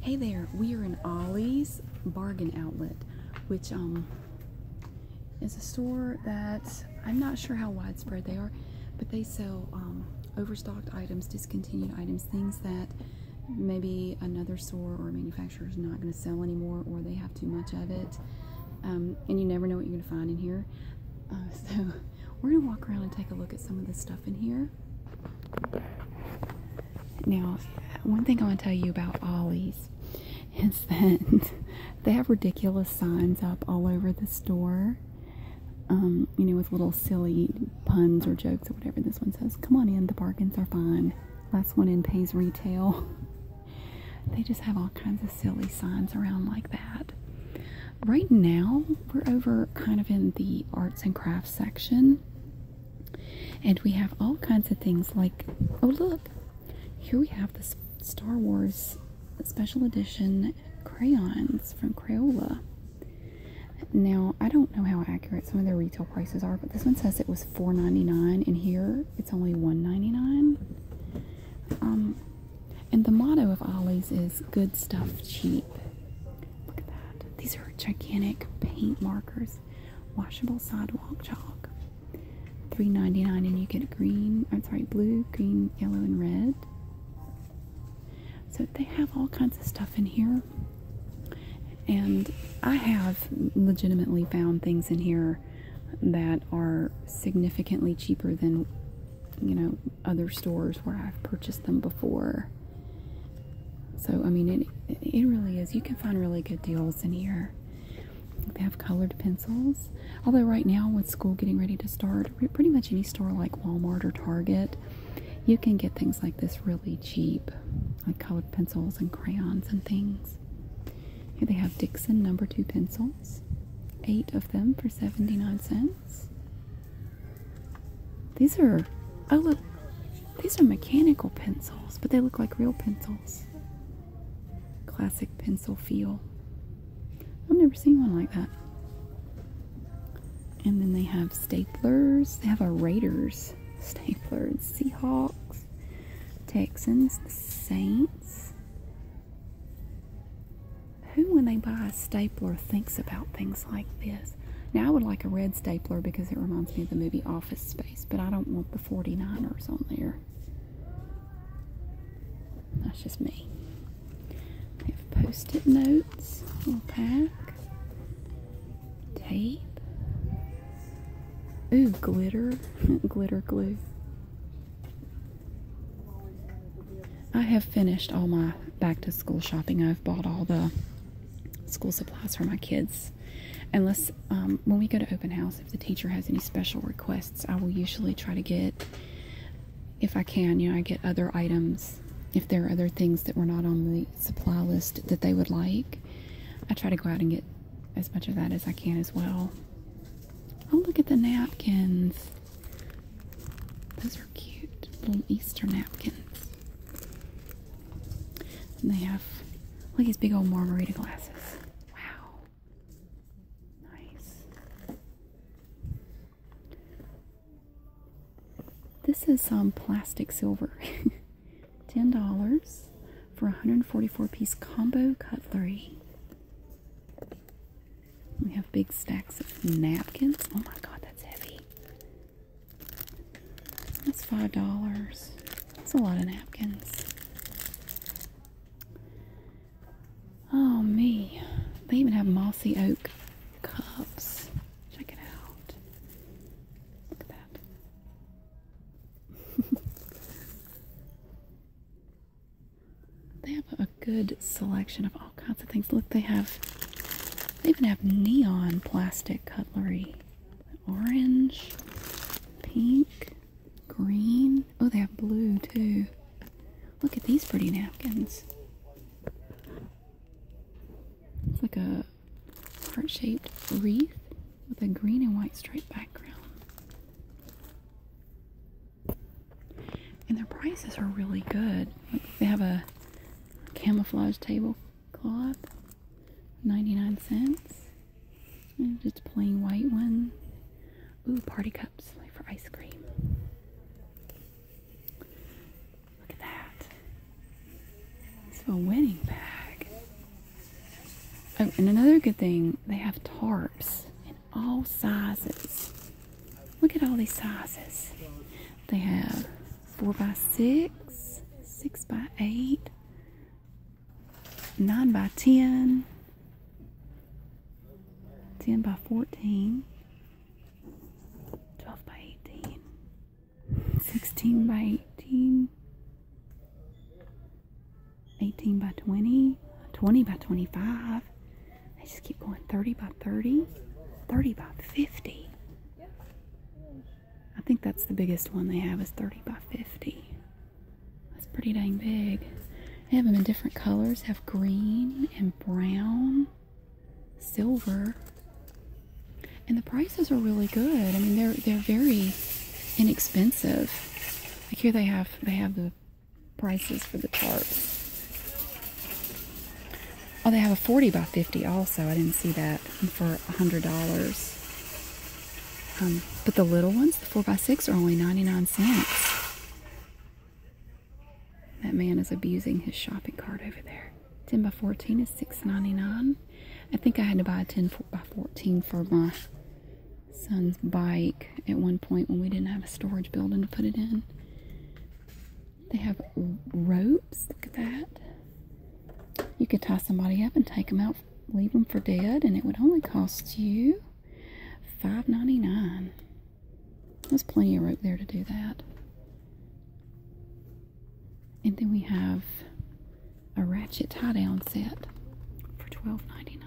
Hey there, we are in Ollie's Bargain Outlet, which um, is a store that I'm not sure how widespread they are, but they sell um, overstocked items, discontinued items, things that maybe another store or manufacturer is not going to sell anymore or they have too much of it. Um, and you never know what you're going to find in here. Uh, so we're going to walk around and take a look at some of the stuff in here. Now, one thing I want to tell you about Ollie's is that they have ridiculous signs up all over the store. Um, you know, with little silly puns or jokes or whatever. This one says, Come on in, the bargains are fine. Last one in pays retail. They just have all kinds of silly signs around like that. Right now, we're over kind of in the arts and crafts section. And we have all kinds of things like, oh, look, here we have the Star Wars special edition crayons from Crayola. Now, I don't know how accurate some of their retail prices are, but this one says it was $4.99, and here it's only $1.99. Um, and the motto of Ollie's is good stuff cheap. Look at that. These are gigantic paint markers. Washable sidewalk chalk. $3.99 and you get green, I'm sorry, blue, green, yellow, and red. So they have all kinds of stuff in here. And I have legitimately found things in here that are significantly cheaper than you know other stores where I've purchased them before. So, I mean, it, it really is. You can find really good deals in here. They have colored pencils. Although, right now, with school getting ready to start, pretty much any store like Walmart or Target, you can get things like this really cheap, like colored pencils and crayons and things. Here they have Dixon number two pencils, eight of them for 79 cents. These are, oh look, these are mechanical pencils, but they look like real pencils. Classic pencil feel. I've never seen one like that. And then they have staplers. They have a Raiders stapler and Seahawks, Texans, Saints. Who, when they buy a stapler, thinks about things like this? Now I would like a red stapler because it reminds me of the movie Office Space, but I don't want the 49ers on there. That's just me. We have post-it notes, little pack, tape. Ooh, glitter, glitter glue. I have finished all my back to school shopping. I've bought all the school supplies for my kids. Unless um, when we go to open house, if the teacher has any special requests, I will usually try to get, if I can, you know, I get other items. If there are other things that were not on the supply list that they would like, I try to go out and get as much of that as I can as well. Oh, look at the napkins. Those are cute little Easter napkins. And they have look at these big old margarita glasses. Wow. Nice. This is some plastic silver. $10 for 144 piece combo cutlery. We have big stacks of napkins. Oh my god, that's heavy. That's five dollars. That's a lot of napkins. Oh me. They even have mossy oak cups. Check it out. Look at that. they have a good selection of all all kinds of things. Look, they have, they even have neon plastic cutlery. Orange, pink, green. Oh, they have blue too. Look at these pretty napkins. It's like a heart-shaped wreath with a green and white striped background. And their prices are really good. they have a camouflage tablecloth, 99 cents. just plain white one. Ooh, party cups for ice cream. Look at that. It's a wedding bag. Oh, and another good thing, they have tarps in all sizes. Look at all these sizes. They have four by six, six by eight, nine by ten, ten by fourteen, twelve by eighteen, sixteen by eighteen, eighteen by twenty, twenty by twenty-five. I just keep going. Thirty by thirty, thirty by fifty. I think that's the biggest one they have is 30 by 50. That's pretty dang big. They have them in different colors. Have green and brown, silver. And the prices are really good. I mean, they're they're very inexpensive. Like here they have they have the prices for the tarps. Oh, they have a 40 by 50 also. I didn't see that. And for $100. Um, but the little ones, the 4x6, are only 99 cents. That man is abusing his shopping cart over there. 10 by 14 is $6.99. I think I had to buy a 10 by 14 for my son's bike at one point when we didn't have a storage building to put it in. They have ropes. Look at that. You could tie somebody up and take them out, leave them for dead, and it would only cost you $5.99. There's plenty of rope there to do that. And then we have a ratchet tie down set for $12.99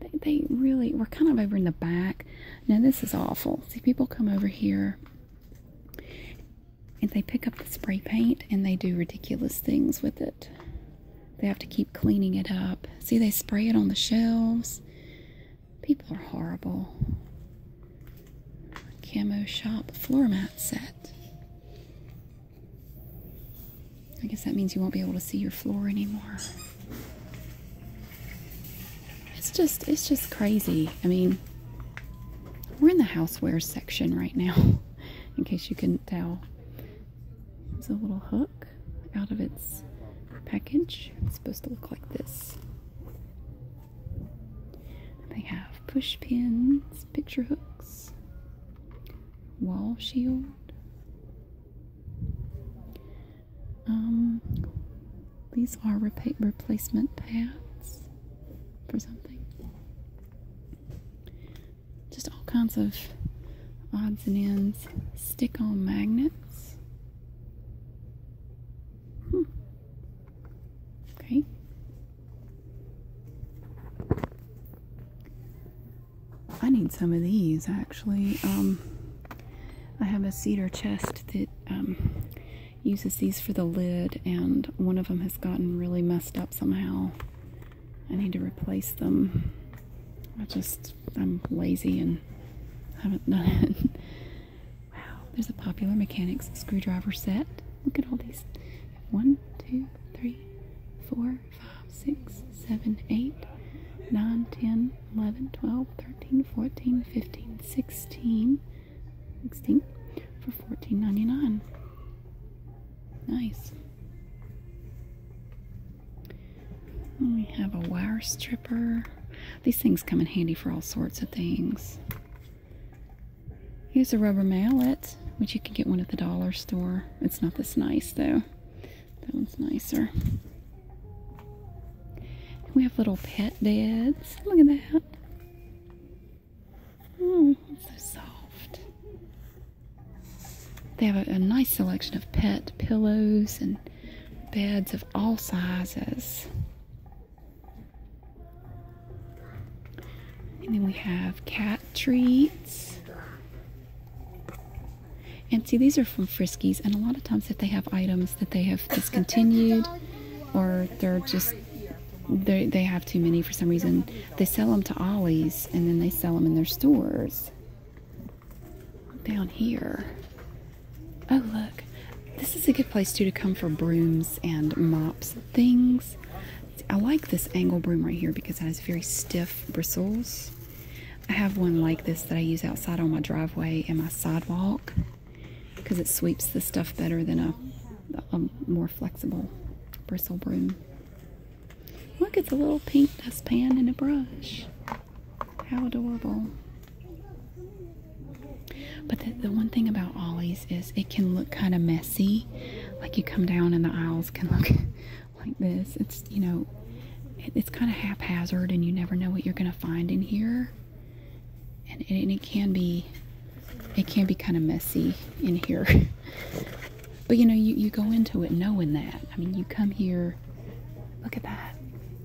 they, they really we're kind of over in the back. Now this is awful. See, people come over here and they pick up the spray paint and they do ridiculous things with it. They have to keep cleaning it up. See, they spray it on the shelves. People are horrible. Camo shop floor mat set. I guess that means you won't be able to see your floor anymore. It's just it's just crazy. I mean, we're in the housewares section right now, in case you couldn't tell. There's a little hook out of its package. It's supposed to look like this. They have push pins, picture hooks, wall shield. Um, these are repa replacement pads for something. Just all kinds of odds and ends. Stick on magnets. Hmm. Okay. I need some of these actually. Um, I have a cedar chest that um, uses these for the lid, and one of them has gotten really messed up somehow. I need to replace them. I just, I'm lazy and haven't done it. wow, there's a popular mechanics screwdriver set. Look at all these. One, two, three, four, five, six, 7, 8, 9, 10, 11, 12, 13, 14, 15, 16, 16 for fourteen ninety nine. Nice. we have a wire stripper. These things come in handy for all sorts of things. Here's a rubber mallet, which you can get one at the dollar store. It's not this nice though. That one's nicer. we have little pet beds. Look at that. Oh, so soft. They have a nice selection of pet pillows and beds of all sizes. And then we have cat treats. And see, these are from Friskies, and a lot of times if they have items that they have discontinued or they're just they they have too many for some reason, they sell them to Ollie's and then they sell them in their stores. Down here. Oh, look. This is a good place too to come for brooms and mops things. I like this angle broom right here because it has very stiff bristles. I have one like this that I use outside on my driveway and my sidewalk because it sweeps the stuff better than a, more flexible bristle broom. Look, it's a little pink dustpan and a brush. How adorable. But the, the one thing about Ollie's is it can look kind of messy. Like you come down and the aisles can look like this. It's, you know, it's kind of haphazard and you never know what you're going to find in here. And, and it can be, it can be kind of messy in here. but you know, you, you go into it knowing that. I mean, you come here, look at that.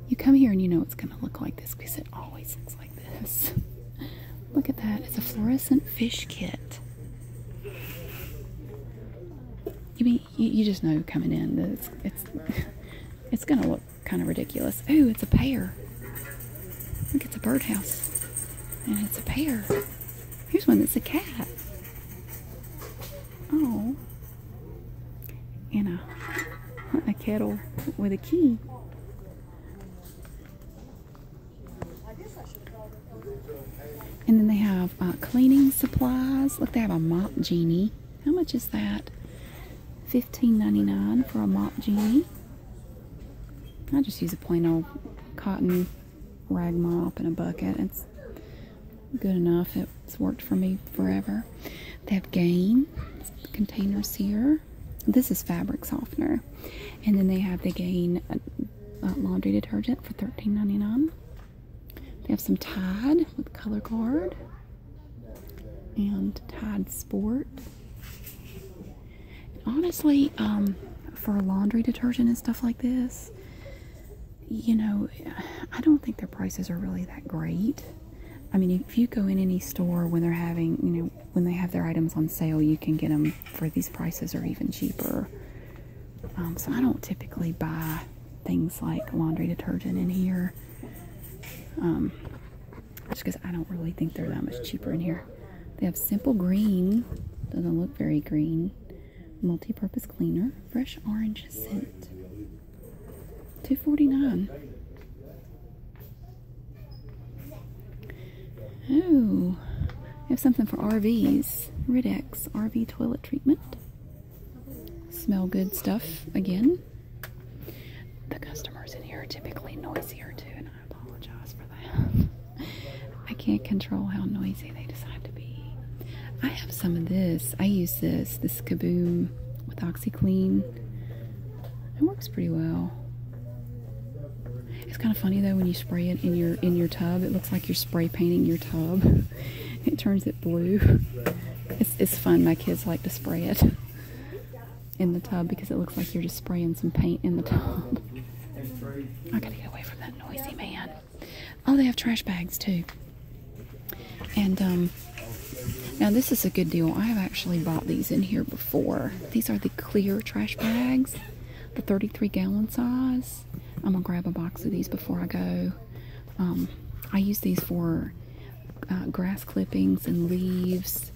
You come here and you know it's going to look like this because it always looks like this. Look at that. It's a fluorescent fish kit. You mean you, just know coming in that it's it's it's gonna look kind of ridiculous. Ooh, it's a pear. Look, it's a birdhouse, and it's a pair. Here's one that's a cat. Oh, and a a kettle with a key. And then they have uh, cleaning supplies. Look, they have a mop genie. How much is that? $15.99 for a mop genie. I just use a plain old cotton rag mop in a bucket. It's good enough. It's worked for me forever. They have Gain containers here. This is fabric softener. And then they have the Gain uh, uh, laundry detergent for $13.99. They have some Tide with color guard and Tide Sport. honestly, um, for laundry detergent and stuff like this, you know, I don't think their prices are really that great. I mean, if you go in any store when they're having, you know, when they have their items on sale, you can get them for these prices or even cheaper. Um, so I don't typically buy things like laundry detergent in here. Um, just because I don't really think they're that much cheaper in here. They have simple green, doesn't look very green. Multi-purpose cleaner, fresh orange scent. 249. Oh, we have something for RVs. Ridex RV toilet treatment smell good stuff again. The customers in here are typically noisier too, and I apologize for that. I can't control how noisy they decide to be. I have some of this. I use this, this Kaboom with OxyClean. It works pretty well. It's kind of funny though when you spray it in your in your tub. It looks like you're spray painting your tub. It turns it blue? It's, it's fun. My kids like to spray it in the tub because it looks like you're just spraying some paint in the tub. I gotta get away from that noisy man. Oh, they have trash bags too. And um, now this is a good deal. I have actually bought these in here before. These are the clear trash bags, the 33 gallon size. I'm gonna grab a box of these before I go. Um, I use these for uh, grass clippings and leaves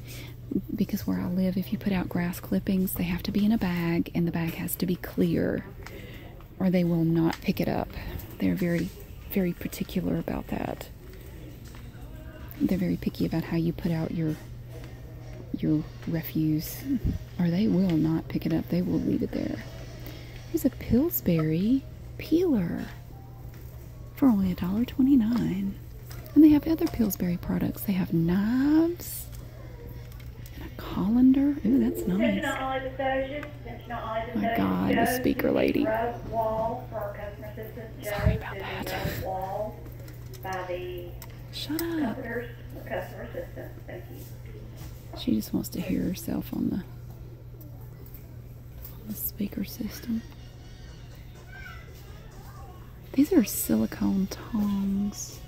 because where I live, if you put out grass clippings, they have to be in a bag and the bag has to be clear or they will not pick it up. They're very, very particular about that. They're very picky about how you put out your your refuse or they will not pick it up. They will leave it there. Here's a Pillsbury peeler for only $1.29. And they have other Pillsbury products. They have knives and a colander. Ooh, that's nice. my God, the speaker lady. Sorry about that. Shut up. She just wants to hear herself on the the speaker system. These are silicone tongs.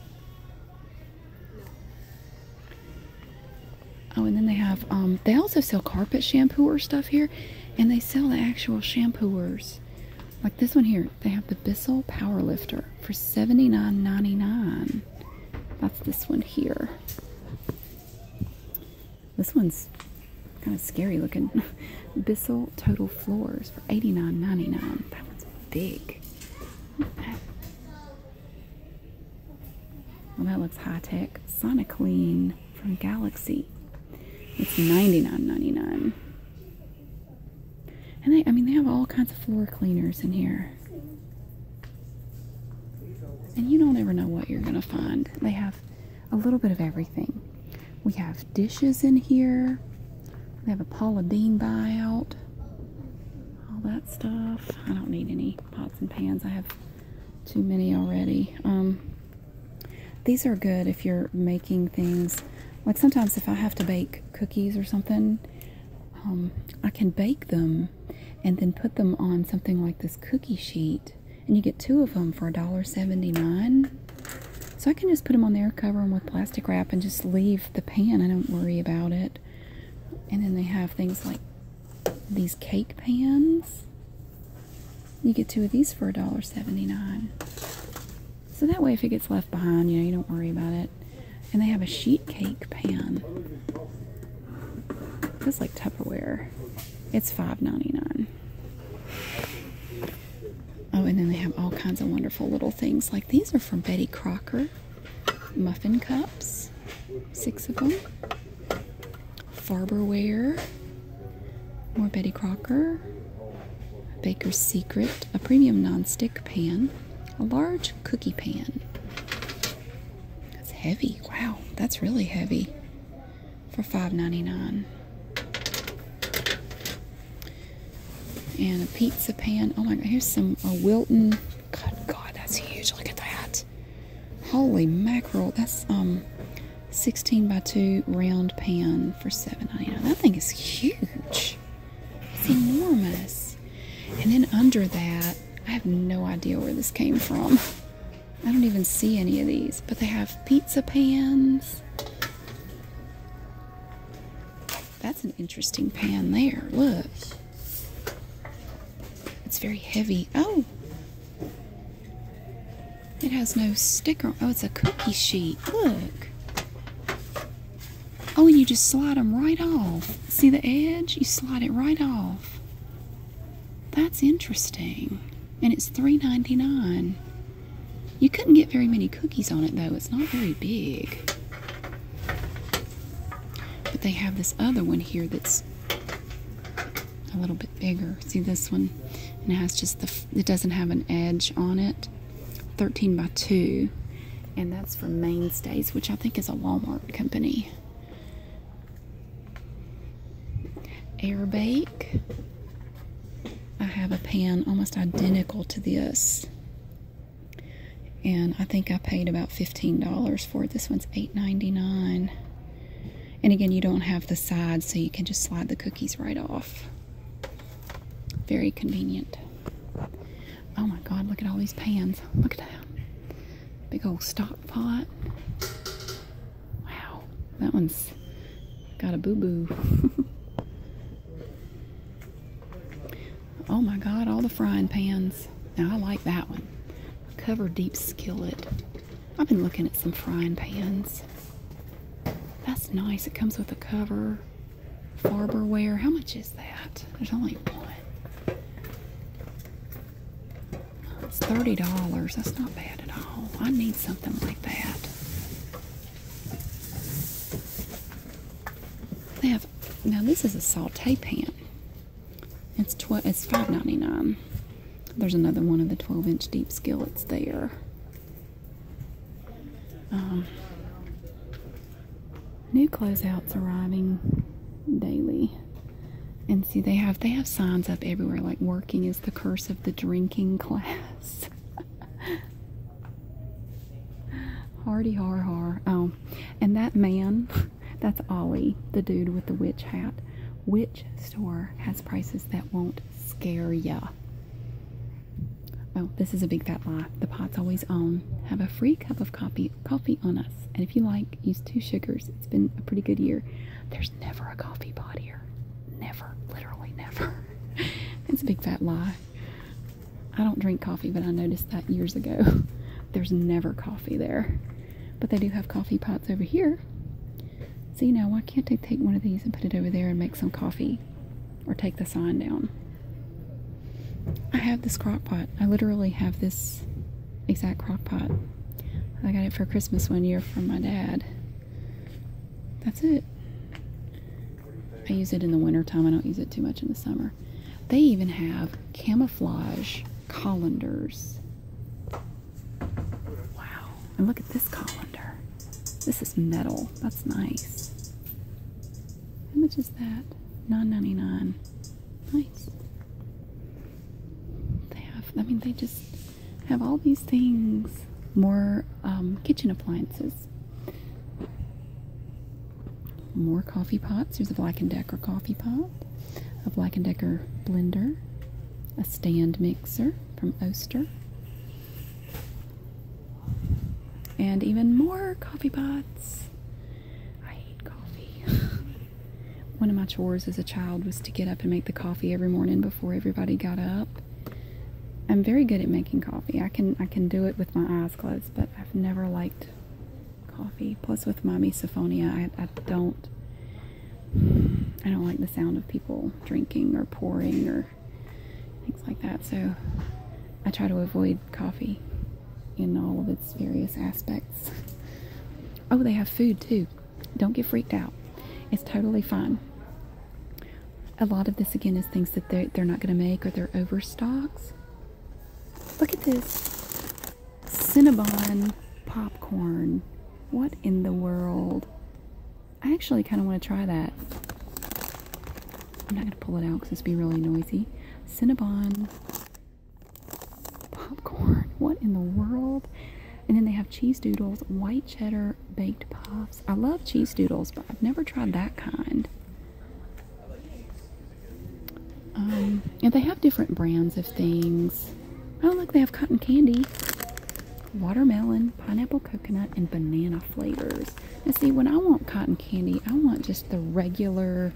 Oh, and then they have, um, they also sell carpet shampooer stuff here, and they sell the actual shampooers. Like this one here, they have the Bissell Power Lifter for $79.99. That's this one here. This one's kind of scary looking. Bissell Total Floors for $89.99. That one's big. Well, that looks high tech. Clean from Galaxy. It's $99.99. And I mean, they have all kinds of floor cleaners in here. And you don't ever know what you're going to find. They have a little bit of everything. We have dishes in here. We have a Paula Dean buyout. All that stuff. I don't need any pots and pans. I have too many already. Um, these are good if you're making things. Like sometimes if I have to bake cookies or something, um, I can bake them and then put them on something like this cookie sheet and you get two of them for $1.79 so i can just put them on there cover them with plastic wrap and just leave the pan i don't worry about it and then they have things like these cake pans you get two of these for $1.79 so that way if it gets left behind you know you don't worry about it and they have a sheet cake pan this is like Tupperware. It's $5.99. Oh, and then they have all kinds of wonderful little things. Like these are from Betty Crocker. Muffin cups. Six of them. Farberware. More Betty Crocker. Baker's Secret. A premium nonstick pan. A large cookie pan. That's heavy. Wow, that's really heavy for $5.99. And a pizza pan. Oh my god, here's some a Wilton. God, God, that's huge. Look at that. Holy mackerel. That's um 16 by 2 round pan for $7.99. That thing is huge. It's enormous. And then under that, I have no idea where this came from. I don't even see any of these, but they have pizza pans. That's an interesting pan there. Look. It's very heavy. Oh! It has no sticker. Oh, it's a cookie sheet. Look. Oh, you just slide them right off. See the edge? You slide it right off. That's interesting. And it's $3.99. You couldn't get very many cookies on it though. It's not very big. But they have this other one here that's a little bit bigger. See this one? And it just the, it doesn't have an edge on it. 13 by 2. And that's from Mainstays, which I think is a Walmart company. Airbake. I have a pan almost identical to this. And I think I paid about $15 for it. This one's $8.99. And again, you don't have the sides, so you can just slide the cookies right off. Very convenient. Oh my God, look at all these pans. Look at that. Big old stock pot. Wow, that one's got a boo-boo. oh my god, all the frying pans. Now I like that one. Cover deep skillet. I've been looking at some frying pans. That's nice. It comes with a cover. Farberware. How much is that? There's only one. It's $30. That's not bad at all. I need something like that. They have now this is a saute pan. It's twelve it's five ninety nine. There's another one of the twelve inch deep skillets there. Um, new closeouts arriving daily and see they have they have signs up everywhere like working is the curse of the drinking class hardy har har oh and that man that's ollie the dude with the witch hat Witch store has prices that won't scare ya oh this is a big fat lie the pot's always on have a free cup of coffee coffee on us. And if you like, use two sugars. It's been a pretty good year. There's never a coffee pot here. Never. Literally never. It's a big fat lie. I don't drink coffee, but I noticed that years ago. There's never coffee there. But they do have coffee pots over here. See now, why can't they take one of these and put it over there and make some coffee? Or take the sign down? I have this crock pot. I literally have this exact crock pot. I got it for Christmas one year from my dad. That's it. I use it in the wintertime. I don't use it too much in the summer. They even have camouflage colanders. Wow. And look at this colander. This is metal. That's nice. How much is that? Nine ninety nine. Nice. They have, I mean, they just have all these things. More um, kitchen appliances. More coffee pots. Here's a Black & Decker coffee pot. A Black & Decker blender. A stand mixer from Oster. And even more coffee pots. I hate coffee. One of my chores as a child was to get up and make the coffee every morning before everybody got up. I'm very good at making coffee. I can I can do it with my eyes closed, but I've never liked coffee. Plus, with my misophonia, I don't I don't like the sound of people drinking or pouring or things like that. So I try to avoid coffee in all of its various aspects. Oh, they have food too. Don't get freaked out. It's totally fine. A lot of this again is things that they're, not going to make or they're overstocks. Look at this Cinnabon popcorn. What in the world? I actually kind of want to try that. I'm not going to pull it out because it's be really noisy. Cinnabon popcorn. What in the world? And then they have cheese doodles, white cheddar baked puffs. I love cheese doodles, but I've never tried that kind. Um, and they have different brands of things. Oh, look, they have cotton candy, watermelon, pineapple coconut, and banana flavors. And see, when I want cotton candy, I want just the regular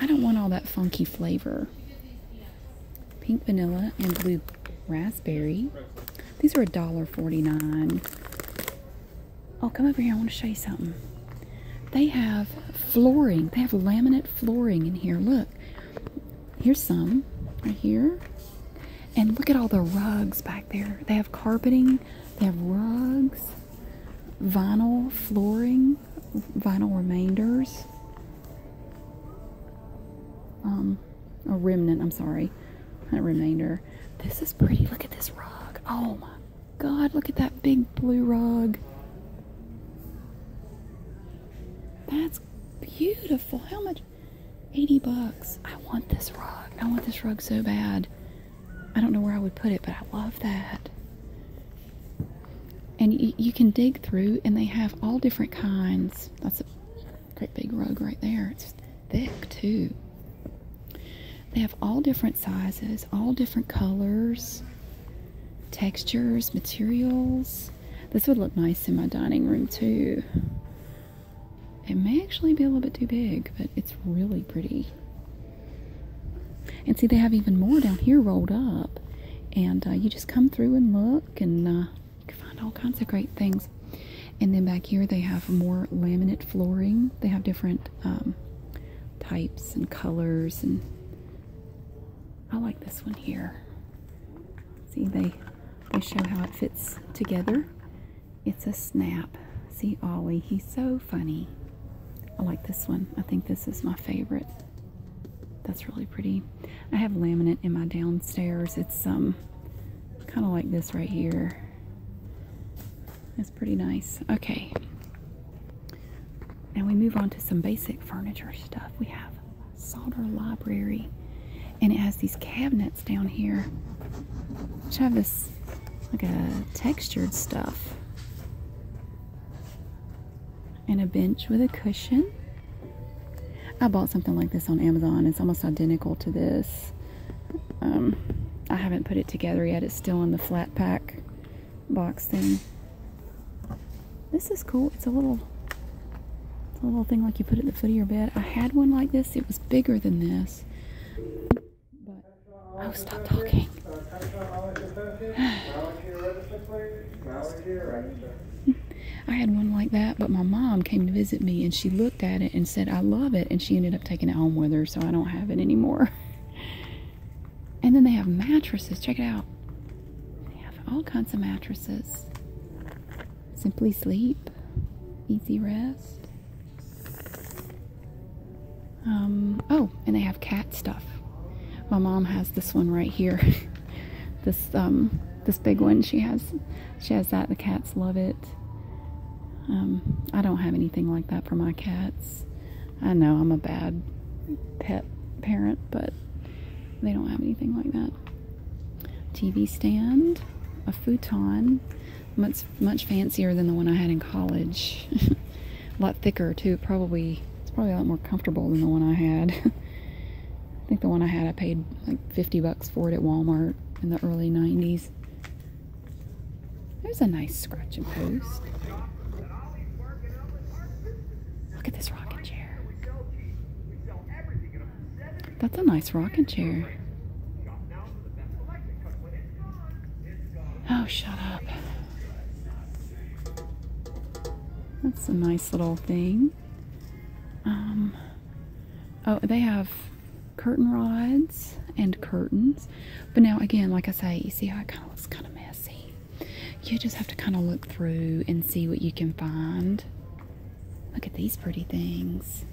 I don't want all that funky flavor. Pink vanilla and blue raspberry. These are $1.49. Oh, come over here. I want to show you something. They have flooring. They have laminate flooring in here. Look. Here's some right here. And look at all the rugs back there. They have carpeting. They have rugs vinyl flooring, vinyl remainders, um, a remnant, I'm sorry, a remainder. This is pretty. Look at this rug. Oh my god, look at that big blue rug. That's beautiful. How much? 80 bucks. I want this rug. I want this rug so bad. I don't know where I would put it, but I love that and you, can dig through and they have all different kinds that's a great big rug right there it's thick too they have all different sizes all different colors textures materials this would look nice in my dining room too it may actually be a little bit too big but it's really pretty and see, they have even more down here rolled up. And uh, you just come through and look, and uh, you can find all kinds of great things. And then back here, they have more laminate flooring. They have different um, types and colors. And I like this one here. See, they, they show how it fits together. It's a snap. See, Ollie, he's so funny. I like this one. I think this is my favorite. That's really pretty. I have laminate in my downstairs. It's um kind of like this right here. That's pretty nice. Okay. Now we move on to some basic furniture stuff. We have solder library and it has these cabinets down here which have this like a uh, textured stuff and a bench with a cushion. I bought something like this on Amazon. It's almost identical to this. Um, I haven't put it together yet. It's still in the flat pack box thing. This is cool. It's a little it's a little thing like you put at the foot of your bed. I had one like this. It was bigger than this. Oh, stop talking. I had one like that, but my mom came to visit me and she looked at it and said, I love it. And she ended up taking it home with her, so I don't have it anymore. And then they have mattresses. Check it out. They have all kinds of mattresses. Simply sleep, easy rest. Um, oh, and they have cat stuff. My mom has this one right here. this um, this big one. She has she has that. The cats love it. Um, I don't have anything like that for my cats. I know I'm a bad pet parent, but they don't have anything like that. TV stand, a futon, much much fancier than the one I had in college. a lot thicker too. Probably it's probably a lot more comfortable than the one I had. I think the one I had I paid like 50 bucks for it at Walmart in the early 90s. There's a nice scratching post. Look at this rocking chair. That's a nice rocking chair. Oh, shut up. That's a nice little thing. Um, oh, they have curtain rods and curtains. But now, again, like I say, you see how it kind of looks kind of messy. You just have to kind of look through and see what you can find. Look at these pretty things.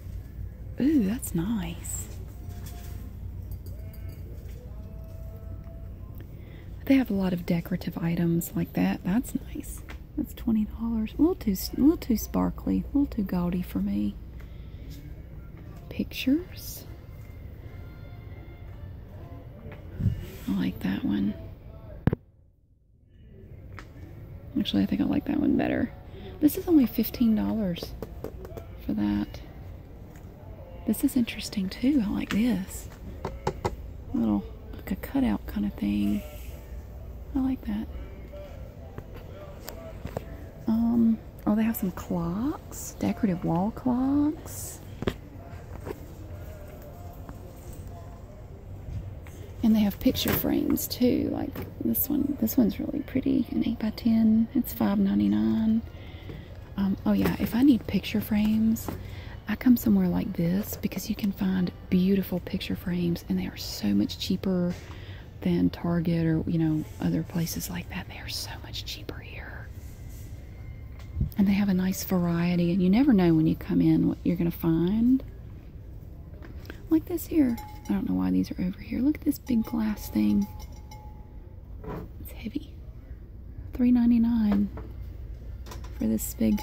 Ooh, that's nice. They have a lot of decorative items like that. That's nice. That's $20. A little too, a little too sparkly. A little too gaudy for me. Pictures. I like that one. Actually, I think I like that one better. This is only $15 for that. This is interesting too. I like this. Little like a cutout kind of thing. I like that. Um, oh, they have some clocks, decorative wall clocks. And they have picture frames too, like this one. This one's really pretty, an 8 by 10 It's five ninety nine. Um, oh yeah, if I need picture frames, I come somewhere like this because you can find beautiful picture frames and they are so much cheaper than Target or you know other places like that. They are so much cheaper here. And they have a nice variety and you never know when you come in what you're gonna find. Like this here. I don't know why these are over here. Look at this big glass thing. It's heavy. three ninety nine for this big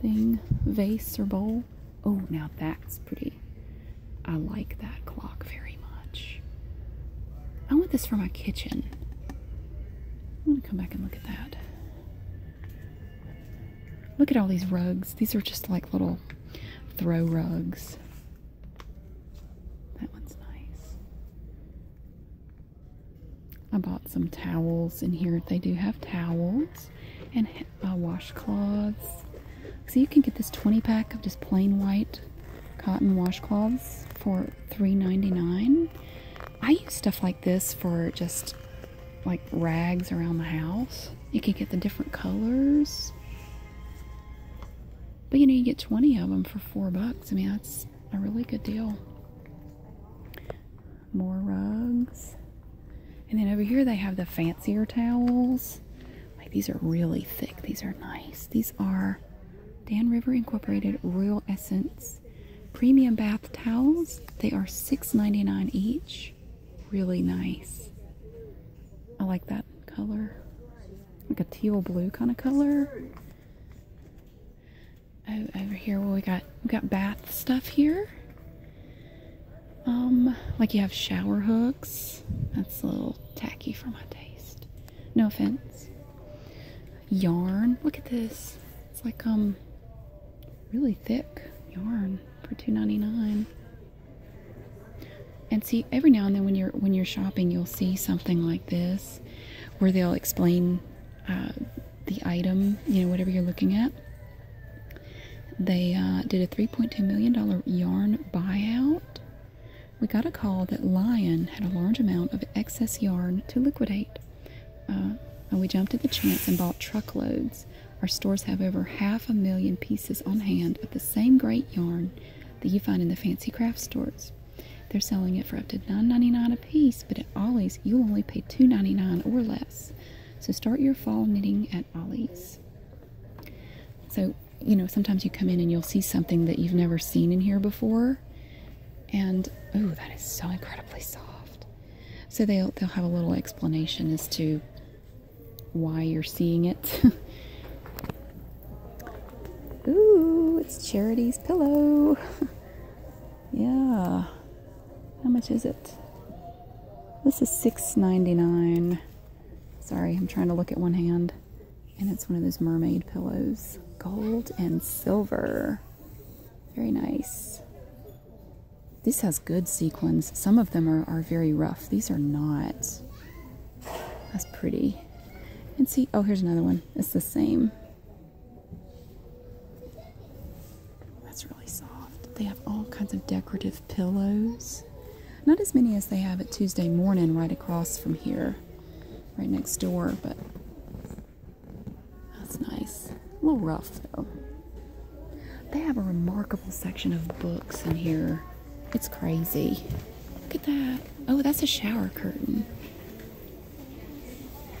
thing, vase or bowl. Oh, now that's pretty. I like that clock very much. I want this for my kitchen. I'm gonna come back and look at that. Look at all these rugs. These are just like little throw rugs. That one's nice. I bought some towels in here. They do have towels and uh, washcloths. So you can get this 20 pack of just plain white cotton washcloths for $3.99. I use stuff like this for just like rags around the house. You can get the different colors. But you know, you get 20 of them for four bucks. I mean, that's a really good deal. More rugs. And then over here, they have the fancier towels. Like these are really thick. These are nice. These are Dan River Incorporated Royal Essence Premium Bath Towels. They are $6.99 each. Really nice. I like that color like a teal blue kind of color. Oh, over here, well, we got we got bath stuff here. Um, like you have shower hooks. That's a little tacky for my taste. No offense. Yarn. Look at this. It's like um, really thick yarn for two ninety nine and see every now and then when you're when you're shopping you'll see something like this where they'll explain uh, the item you know whatever you're looking at they uh, did a 3.2 million dollar yarn buyout we got a call that lion had a large amount of excess yarn to liquidate uh, and we jumped at the chance and bought truckloads our stores have over half a million pieces on hand of the same great yarn that you find in the fancy craft stores they're selling it for up to $9.99 a piece, but at Ollie's you'll only pay $2.99 or less. So start your fall knitting at Ollie's. So, you know, sometimes you come in and you'll see something that you've never seen in here before. And oh, that is so incredibly soft. So they'll they'll have a little explanation as to why you're seeing it. Ooh, it's Charity's pillow. yeah. How much is it? This is $6.99. Sorry, I'm trying to look at one hand. And it's one of those mermaid pillows. Gold and silver. Very nice. This has good sequins. Some of them are, are very rough. These are not. That's pretty. And see, oh, here's another one. It's the same. That's really soft. They have all kinds of decorative pillows. Not as many as they have at Tuesday morning right across from here, right next door, but that's nice. A little rough, though. They have a remarkable section of books in here. It's crazy. Look at that. Oh, that's a shower curtain.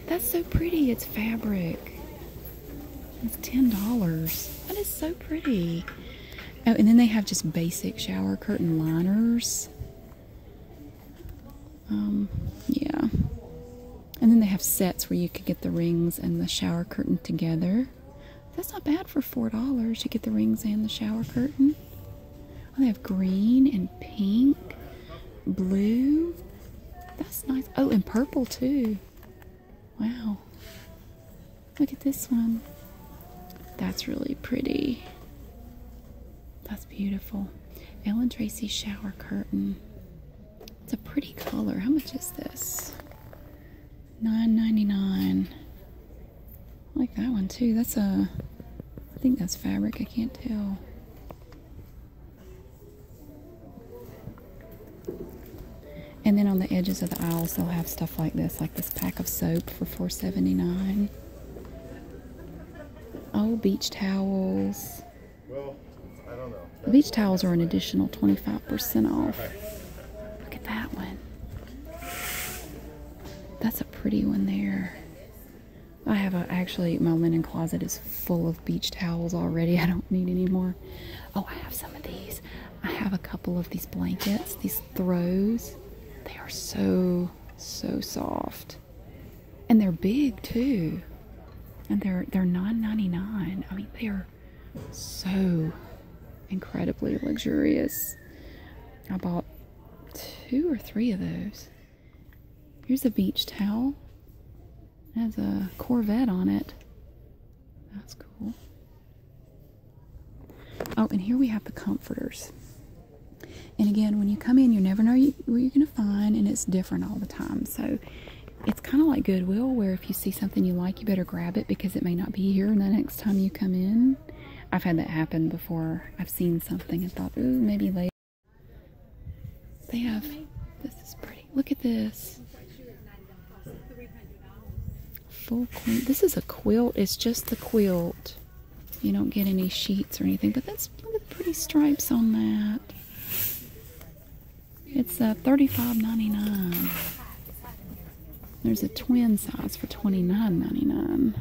That's so pretty. It's fabric. It's $10. That is so pretty. Oh, and then they have just basic shower curtain liners. Um, yeah. And then they have sets where you could get the rings and the shower curtain together. That's not bad for $4. You get the rings and the shower curtain. Oh, they have green and pink, blue. That's nice. Oh, and purple too. Wow. Look at this one. That's really pretty. That's beautiful. Ellen Tracy shower curtain. It's a pretty color. How much is this? $9.99 like that one too. That's a, I think that's fabric. I can't tell. And then on the edges of the aisles, they'll have stuff like this, like this pack of soap for $4.79. Oh, beach towels. Well, beach towels are an additional 25% off. Look at that one. That's a pretty one there. I have a, actually, my linen closet is full of beach towels already. I don't need any more. Oh, I have some of these. I have a couple of these blankets, these throws. They are so, so soft. And they're big too. And they're they're $9.99. I mean, they are so incredibly luxurious. I bought two or three of those. Here's a beach towel. has a Corvette on it. That's cool. Oh, and here we have the comforters. And again, when you come in, you never know you, what you're going to find, and it's different all the time. So it's kind of like Goodwill, where if you see something you like, you better grab it because it may not be here the next time you come in. I've had that happen before seen something and thought, ooh, maybe later. They have, this is pretty. Look at this. Full This is a quilt. It's just the quilt. You don't get any sheets or anything, but that's, pretty stripes on that. It's a uh, 35 99 There's a twin size for 29 99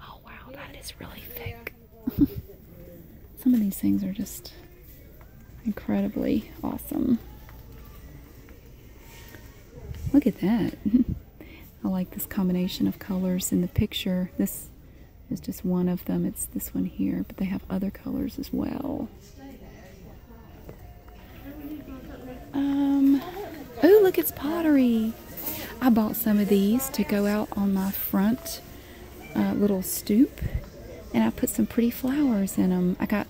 Oh wow, that is really thick. Some of these things are just incredibly awesome. Look at that. I like this combination of colors in the picture. This is just one of them. It's this one here, but they have other colors as well. Um, oh, look, it's pottery. I bought some of these to go out on my front uh, little stoop, and I put some pretty flowers in them. I got,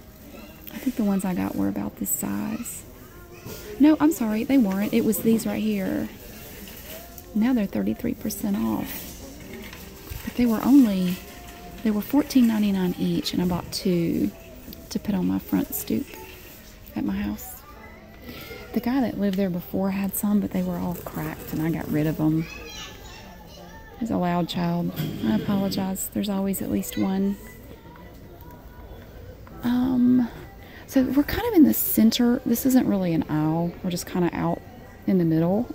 I think the ones I got were about this size. No, I'm sorry, they weren't. It was these right here. Now they're 33% off. But they were only, they were $14.99 each, and I bought two to put on my front stoop at my house. The guy that lived there before had some, but they were all cracked and I got rid of them. He's a loud child. I apologize. There's always at least one. Um, so we're kind of in the center. This isn't really an aisle. We're just kind of out in the middle.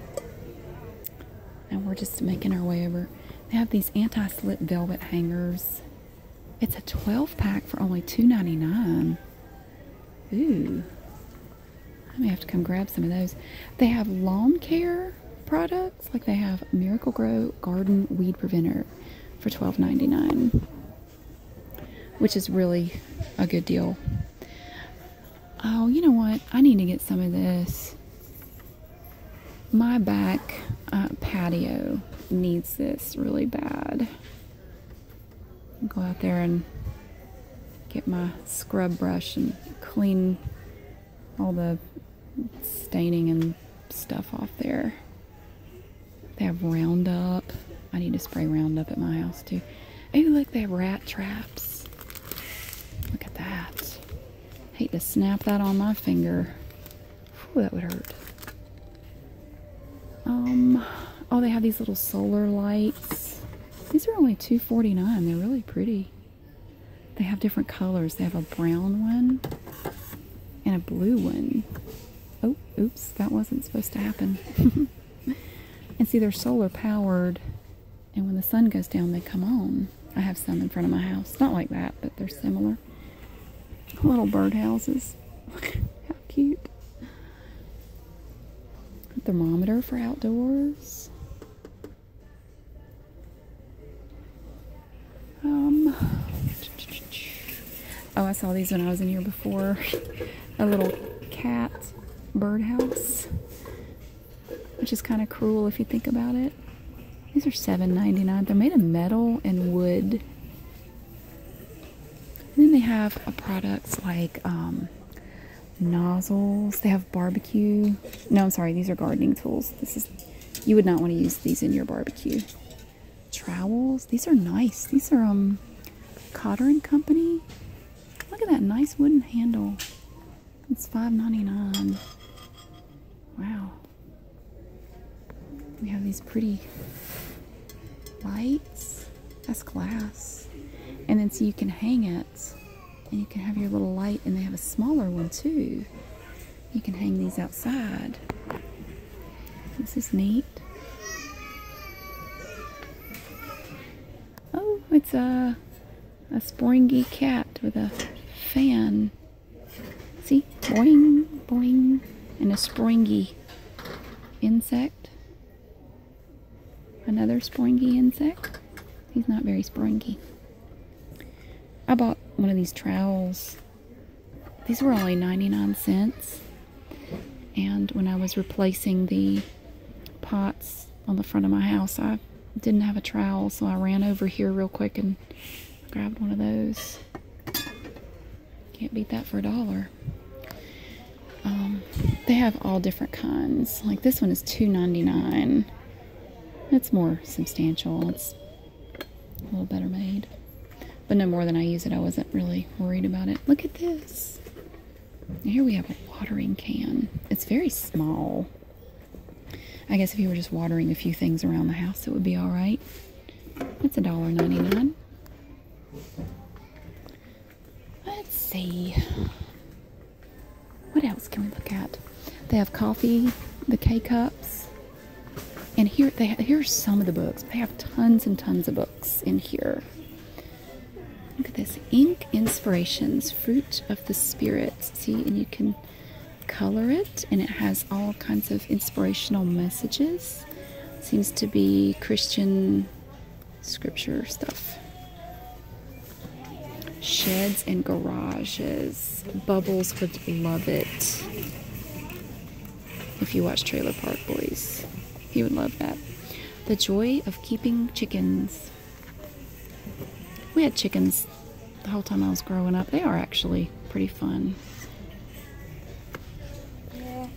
and we're just making our way over. They have these anti-slip velvet hangers. It's a 12 pack for only $2.99. Ooh. I may have to come grab some of those. They have lawn care products, like they have Miracle Grow Garden Weed Preventer for $12.99, which is really a good deal. Oh, you know what? I need to get some of this my back uh, patio needs this really bad. go out there and get my scrub brush and clean all the staining and stuff off there. They have Roundup. I need to spray Roundup at my house too. Oh, look, they have rat traps. Look at that. Hate to snap that on my finger. Oh, that would hurt. Um, oh, they have these little solar lights. These are only two They're really pretty. They have different colors. They have a brown one and a blue one. Oh, oops, that wasn't supposed to happen. and see, they're solar powered, and when the sun goes down, they come on. I have some in front of my house. Not like that, but they're similar smaller. Little birdhouses. How cute. thermometer for outdoors. Um, oh, I saw these when I was in here before. A little cat birdhouse, which is kind of cruel if you think about it. These are $7.99. They're made of metal and wood. then they have products like um, nozzles. They have barbecue. No, I'm sorry. These are gardening tools. This is you would not want to use these in your barbecue. Trowels. These are nice. These are um, Cotter and Company. Look at that nice wooden handle. It's $5.99. Wow. We have these pretty lights. That's glass. And then so you can hang it and you can have your little light and they have a smaller one too. You can hang these outside. This is neat. Oh, it's a, a springy cat with a fan. See? Boing, boing. And a springy insect. Another springy insect. He's not very springy. I bought one of these trowels. These were only 99 cents. And when I was replacing the pots on the front of my house, I didn't have a trowel, so I ran over here real quick and Grabbed one of those. Can't beat that for a dollar. Um, they have all different kinds. Like this one is $2.99. It's more substantial. It's a little better made. But no more than I use it. I wasn't really worried about it. Look at this. Here we have a watering can. It's very small. I guess if you were just watering a few things around the house, it would be all right. That's a dollar ninety-nine. Let's see. What else can we look at? They have coffee, the K cups, and here they here's some of the books. They have tons and tons of books in here. Look at this ink inspirations, fruit of the spirit. See, and you can color it and it has all kinds of inspirational messages seems to be christian scripture stuff sheds and garages bubbles would love it if you watch trailer park boys he would love that the joy of keeping chickens we had chickens the whole time I was growing up. They are actually pretty fun.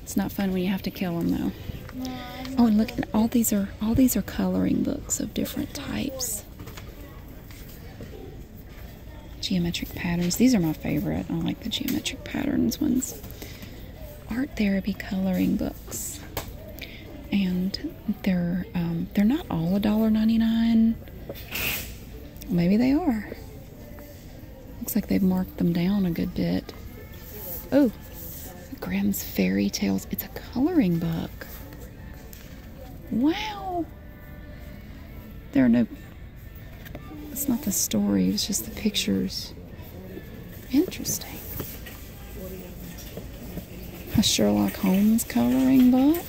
It's not fun when you have to kill them though. oh, and look, all these are all these are coloring books of different types. Geometric patterns. These are my favorite. I like the geometric patterns ones. Art therapy coloring books, and they're um, they're not all a dollar ninety nine. Maybe they are. Looks like they've marked them down a good bit. Oh, Grimm's Fairy Tales. It's a coloring book. Wow. There are no. It's not the story, it's just the pictures. Interesting. A Sherlock Holmes coloring book.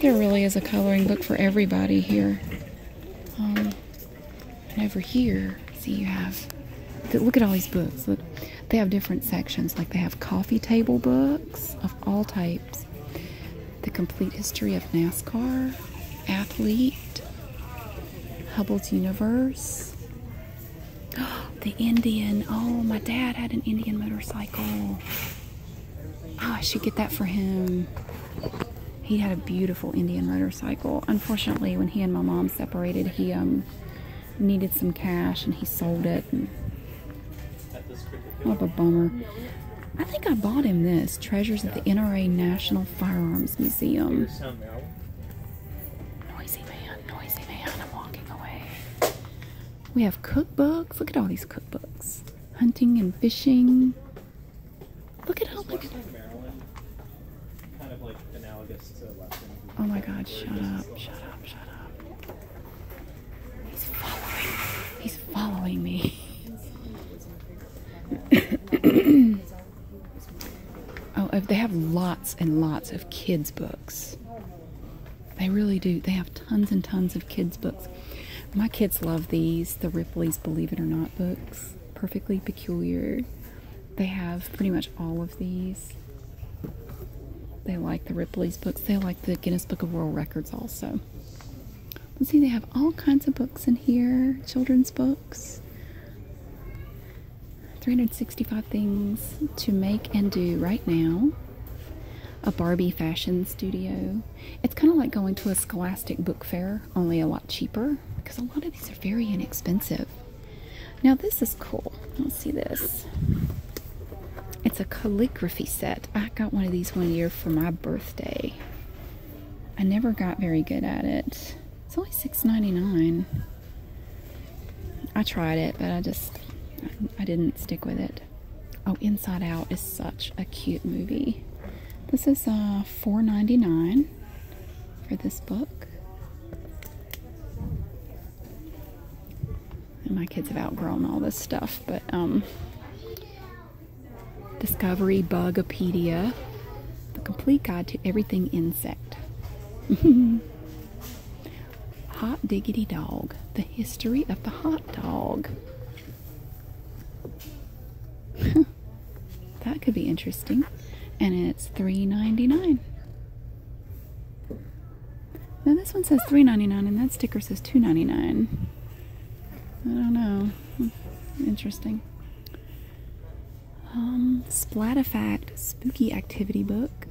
There really is a coloring book for everybody here. Um, over here, see you have, look at all these books. Look, they have different sections. Like they have coffee table books of all types. The complete history of NASCAR, athlete, Hubble's universe, the Indian. Oh, my dad had an Indian motorcycle. Oh, I should get that for him. He had a beautiful Indian motorcycle. Unfortunately, when he and my mom separated, he um needed some cash and he sold it. what a bummer. I think I bought him this Treasures at the NRA National Firearms Museum. Noisy man, noisy man. I'm walking away. We have cookbooks. Look at all these cookbooks. Hunting and fishing. Look at how much. like Oh my god, shut up, shut up, shut up. He's following He's following me. oh, they have lots and lots of kids' books. They really do. They have tons and tons of kids' books. My kids love these, the Ripley's Believe It or Not books. Perfectly Peculiar. They have pretty much all of these. They like the Ripley's books. They like the Guinness Book of World Records also. Let's see, they have all kinds of books in here, children's books. 365 things to make and do right now a Barbie fashion studio. It's kind of like going to a Scholastic book fair, only a lot cheaper because a lot of these are very inexpensive. Now, this is cool. Let's see this. It's a calligraphy set. I got one of these one year for my birthday. I never got very good at it. It's only $6.99. I tried it, but I just I didn't stick with it. Oh, Inside Out is such a cute movie. This is uh, $4.99 for this book. my kids have outgrown all this stuff, but um, Discovery Bugopedia, The Complete Guide to Everything Insect. Hot Diggity Dog The History of the Hot Dog. that could be interesting. And it's $3.99. Now this one says $3.99 and that sticker says $2.99. I don't know. Interesting. Um, Splatafact Spooky Activity Book.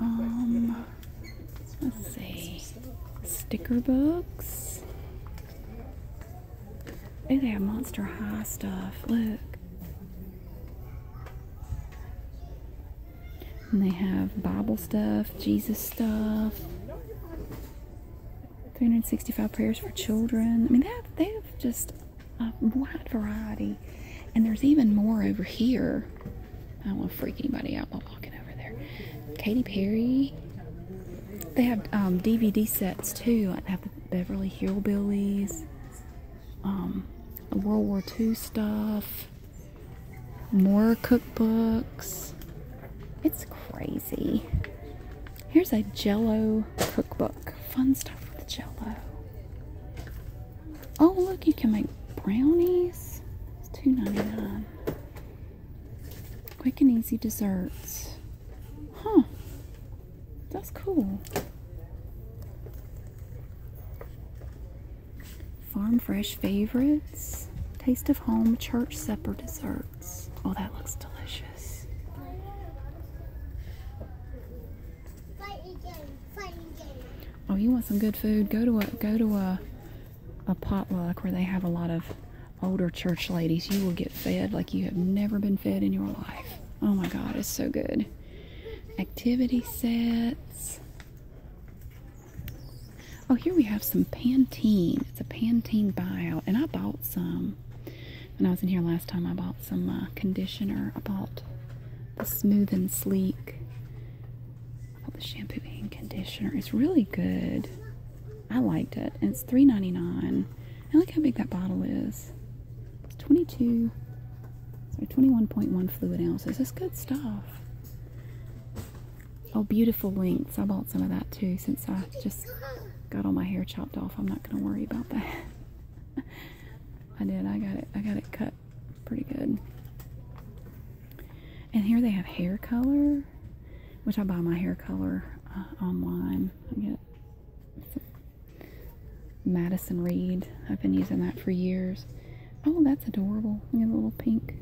Um, let's see, sticker books. they oh, have Monster High stuff. Look. And they have Bible stuff, Jesus stuff, 365 prayers for children. I mean, they have, they have just a wide variety. And there's even more over here. I don't want to freak anybody out by walking over there. Katy Perry. They have DVD um, sets too. I have the Beverly Hillbillies, um, World War II stuff, more cookbooks. It's crazy. Here's a Jello cookbook. Fun stuff with Jello. Oh look, you can make brownies. It's two ninety nine. Quick and easy desserts. Huh. That's cool. Farm Fresh Favorites. Taste of Home Church Supper Desserts. Oh, that looks delicious. Oh, you want some good food? Go to a go to a a potluck where they have a lot of older church ladies. You will get fed like you have never been fed in your life. Oh my God, it's so good. Activity sets. Oh, here we have some Pantene. It's a Pantene buyout, and I bought some when I was in here last time, I bought some uh, conditioner. I bought the Smooth and Sleek. I bought the shampoo and conditioner. It's really good. I liked it. And it's $3.99. I like how big that bottle is. It's 22, sorry, 21.1 fluid ounces. It's good stuff. Oh, beautiful lengths. I bought some of that too since I just got all my hair chopped off. I'm not going to worry about that. I did. I got it. I got it cut pretty good. And here they have hair color, which I buy my hair color uh, online. I get Madison Reed. I've been using that for years. Oh, that's adorable. We at a little pink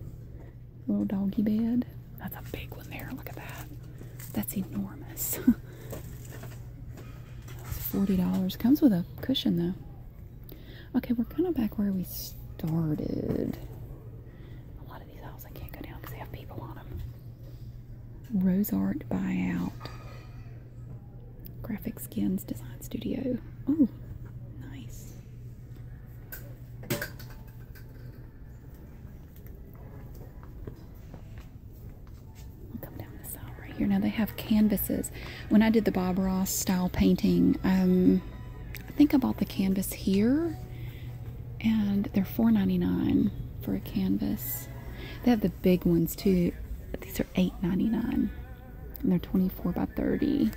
little doggy bed. That's a big one there. Look at that. That's enormous. $40. Comes with a cushion though. Okay, we're kind of back where we started. A lot of these aisles can't go down because they have people on them. Rose Art Buyout. Graphic Skins Design Studio. Oh, nice come down this aisle right here. Now they have canvases. When I did the Bob Ross style painting, um, I think I bought the canvas here, and they're $4.99 for a canvas. They have the big ones too. These are $8.99, and they're 24 by 30.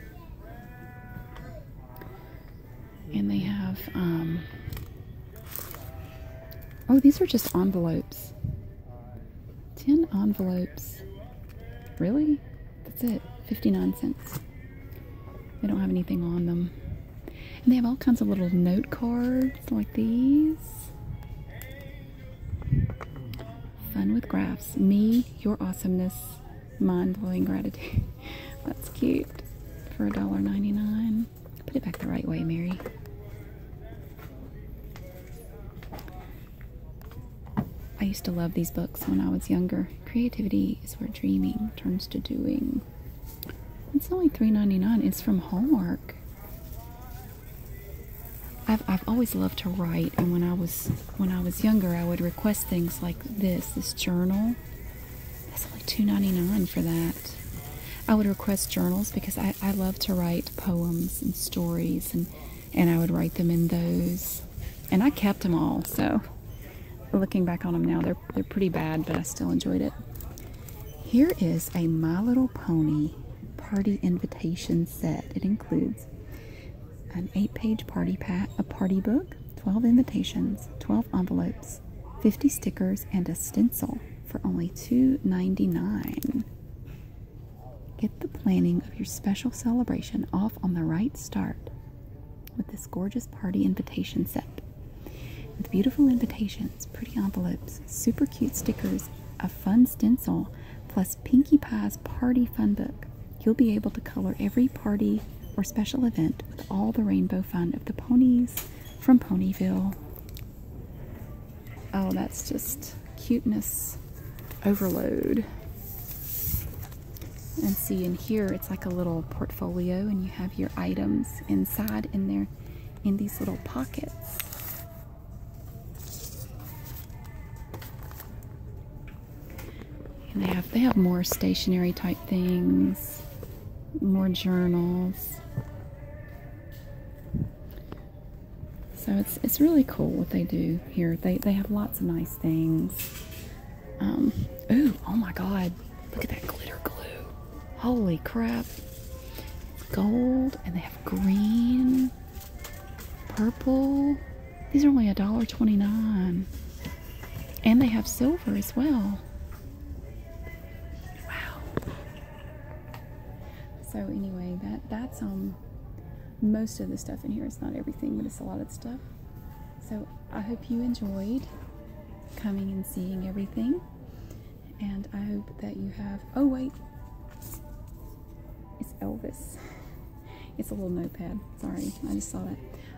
And they have um, Oh, these are just envelopes. Ten envelopes. Really? That's it. 59 cents. They don't have anything on them. And they have all kinds of little note cards like these. Fun with graphs. Me, your awesomeness, mind blowing gratitude. That's cute for $1.99. Put it back the right way, Mary. I used to love these books when I was younger. Creativity is where dreaming turns to doing. It's only 3 It's from Hallmark. I've I've always loved to write, and when I was when I was younger, I would request things like this, this journal. That's only two ninety nine for that. I would request journals because I I, love to write poems and stories, and, and I would write them in those. And I kept them all, so looking back on them now, they're, they're pretty bad, but I still enjoyed it. Here is a My Little Pony party invitation set. It includes an eight-page party pack, a party book, 12 invitations, 12 envelopes, 50 stickers, and a stencil for only $2.99. Get the planning of your special celebration off on the right start with this gorgeous party invitation set. With beautiful invitations, pretty envelopes, super cute stickers, a fun stencil, plus Pinkie Pie's party fun book, you'll be able to color every party or special event with all the rainbow fun of the ponies from Ponyville. Oh, that's just cuteness overload. And see in here, it's like a little portfolio and you have your items inside in there in these little pockets. they have, they have more stationery type things, more journals. So it's it's really cool what they do here. They they have lots of nice things. Um, ooh, oh my God! Look at that glitter glue. Holy crap! Gold, and they have green, purple. These are only a dollar twenty-nine, and they have silver as well. Wow! So anyway, that that's um most of the stuff in here. It's not everything, but it's a lot of stuff. So I hope you enjoyed coming and seeing everything. And I hope that you have oh wait. It's Elvis. It's a little notepad. Sorry, I just saw that.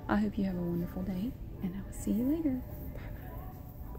I hope you have a wonderful day and I will see you later. Bye.